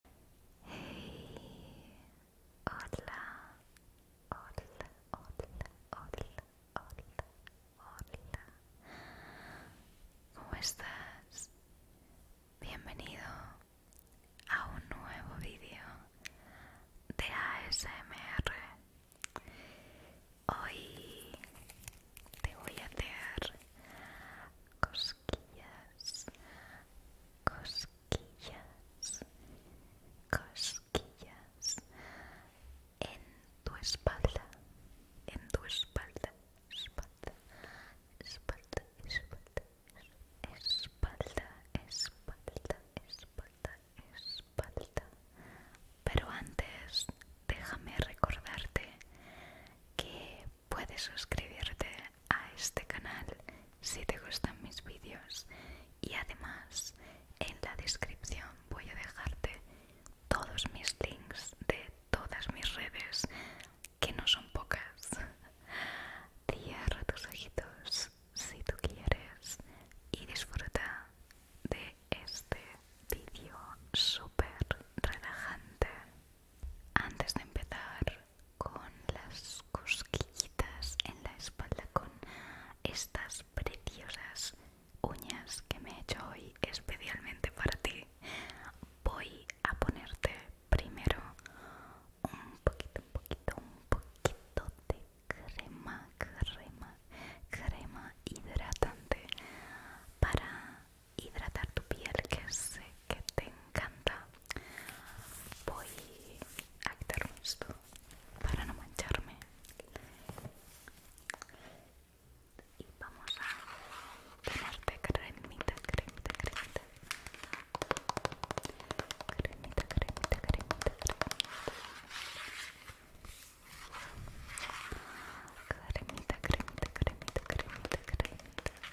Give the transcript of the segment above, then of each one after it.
Hey, hola, hola, hola, hola, hola, hola. ¿Cómo estás? Bienvenido a un nuevo video de ASMR. Hoy te voy a hacer cosquillas cosquillas, cosquillas en tu espalda, en tu espalda, espalda, espalda, espalda, espalda, espalda, espalda, espalda. Pero antes, déjame recordarte que Puedes suscribirte a este canal si te gustan mis vídeos y además en la descripción voy a dejarte todos mis links de todas mis redes que no son pocas. Cierra tus ojitos si tú quieres y disfruta de este vídeo súper relajante. Antes de empezar con las cosquillitas en la espalda con estas preciosas uñas que me he hecho hoy especialmente para ti, voy a ponerte primero un poquito, un poquito, un poquito de crema, crema, crema hidratante para hidratar tu piel que sé que te encanta voy a quitar esto para no mancharme y vamos a ponerte cremita, cremita, cremita cremita, cremita, cremita, cremita cremita, cremita, cremita, cremita, cremita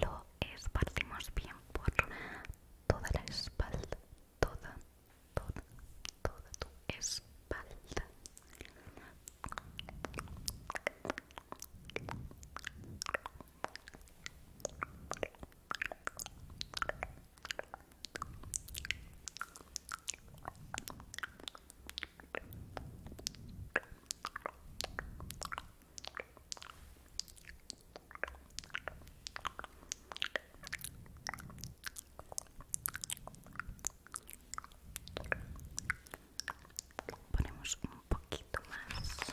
Lo esparcimos bien por toda la espalda, toda, toda, toda tu espalda. Ponemos un poquito más.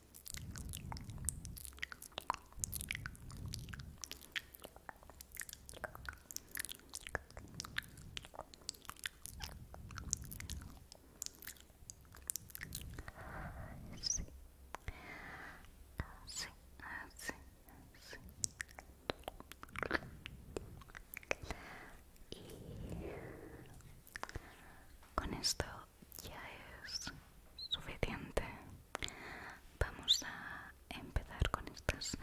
Así, así, Y con esto ya es suficiente. Vamos a empezar con estas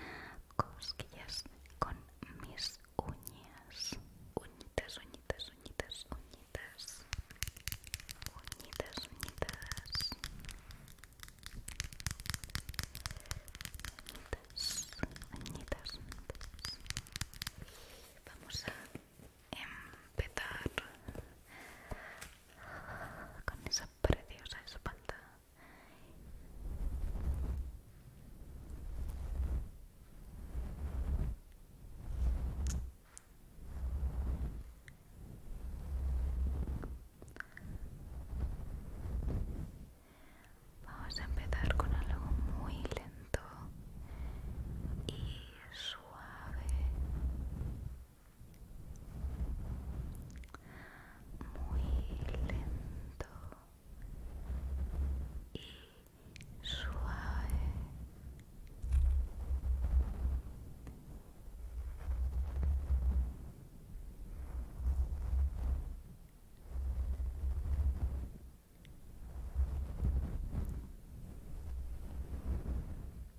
cosquillas con mis uñas. Uñitas, uñitas, uñitas, uñitas. Uñitas, uñitas. Uñitas, uñitas. uñitas Vamos a empezar con esa preciosa espalda. Vamos a empezar con algo muy lento y suave muy lento y suave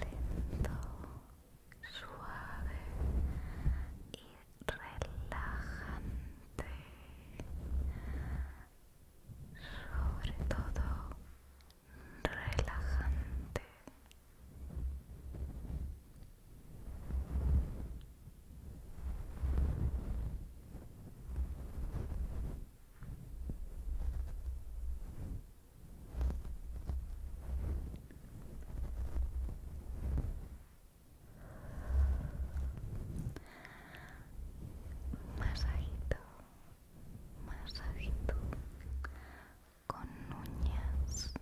lento, suave y relajante. Sobre todo relajante. Masajito, masajito con uñas,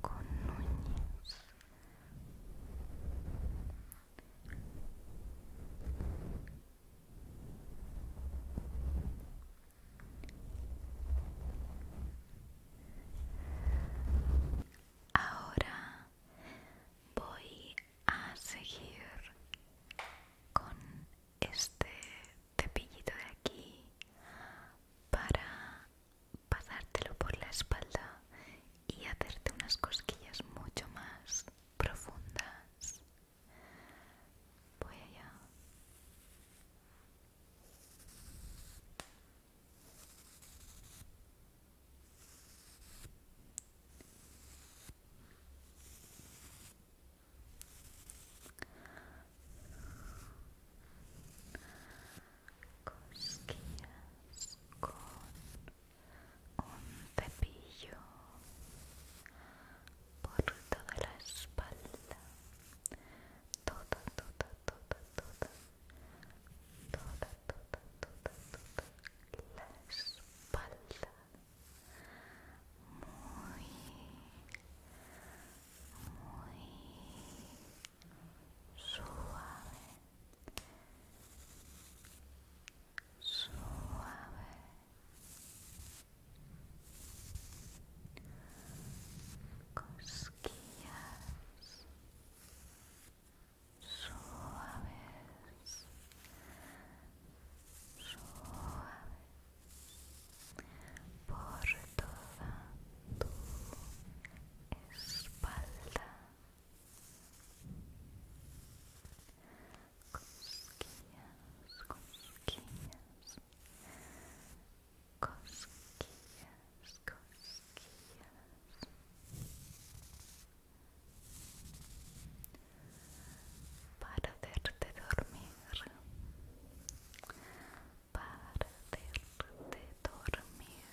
con uñas. Ahora voy a seguir con este cepillito de aquí para pasártelo por la espalda y hacerte unas cosquillas mucho más profundas Voy allá. Cosquillas con un cepillo por toda la espalda, toda, toda, toda, toda, toda, toda, toda, toda la espalda, muy, muy suave suave cosquillas suaves suave por toda tu espalda cosquillas, cosquillas, cosquillas, cosquillas. Para hacerte dormir, para hacerte dormir.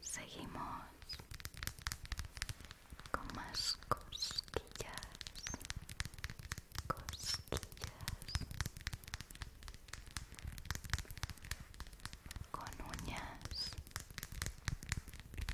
Seguimos con más cosquillas, cosquillas, con uñas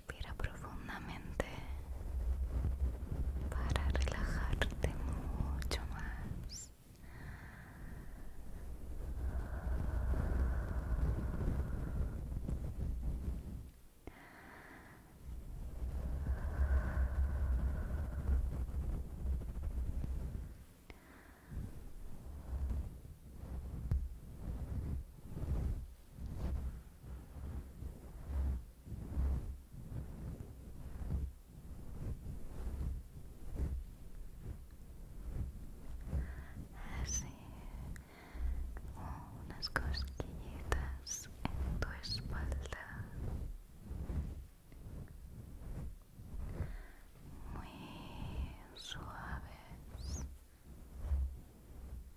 Respira profundamente para relajarte mucho más. Así unas cosquillitas en tu espalda. Muy suaves.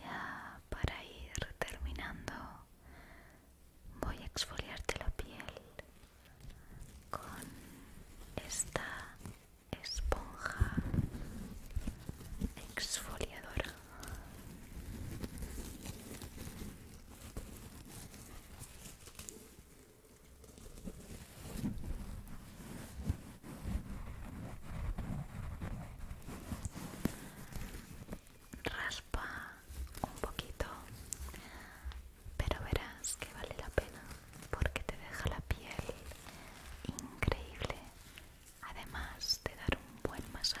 Ya para ir terminando voy a exfoliarte la piel con esta esponja exfoliadora raspa un poquito pero verás que vale la pena porque te deja la piel increíble además de dar un buen masaje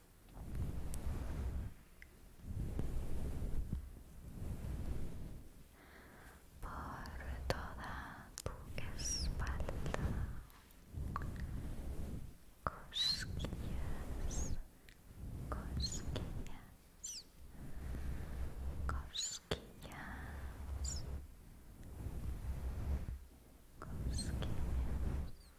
por toda tu espalda cosquillas cosquillas cosquillas cosquillas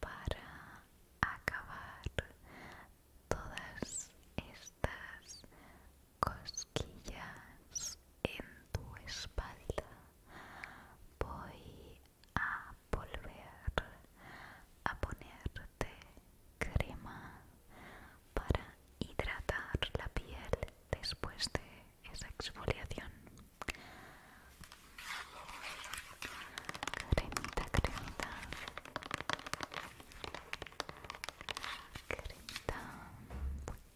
para acabar todas estas cosquillas en tu espalda voy a volver a ponerte crema para hidratar la piel después de esa exfoliación cremita cremita cremita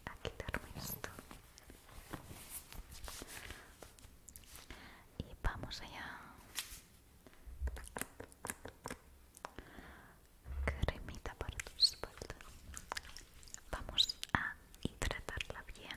a quitarme esto y vamos allá cremita para tu espalda vamos a hidratarla bien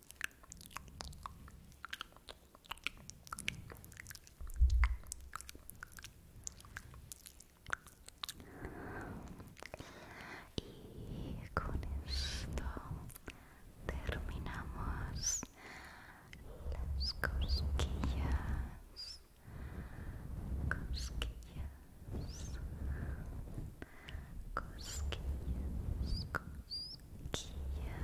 Y con esto terminamos las cosquillas. Cosquillas. Cosquillas, cosquillas.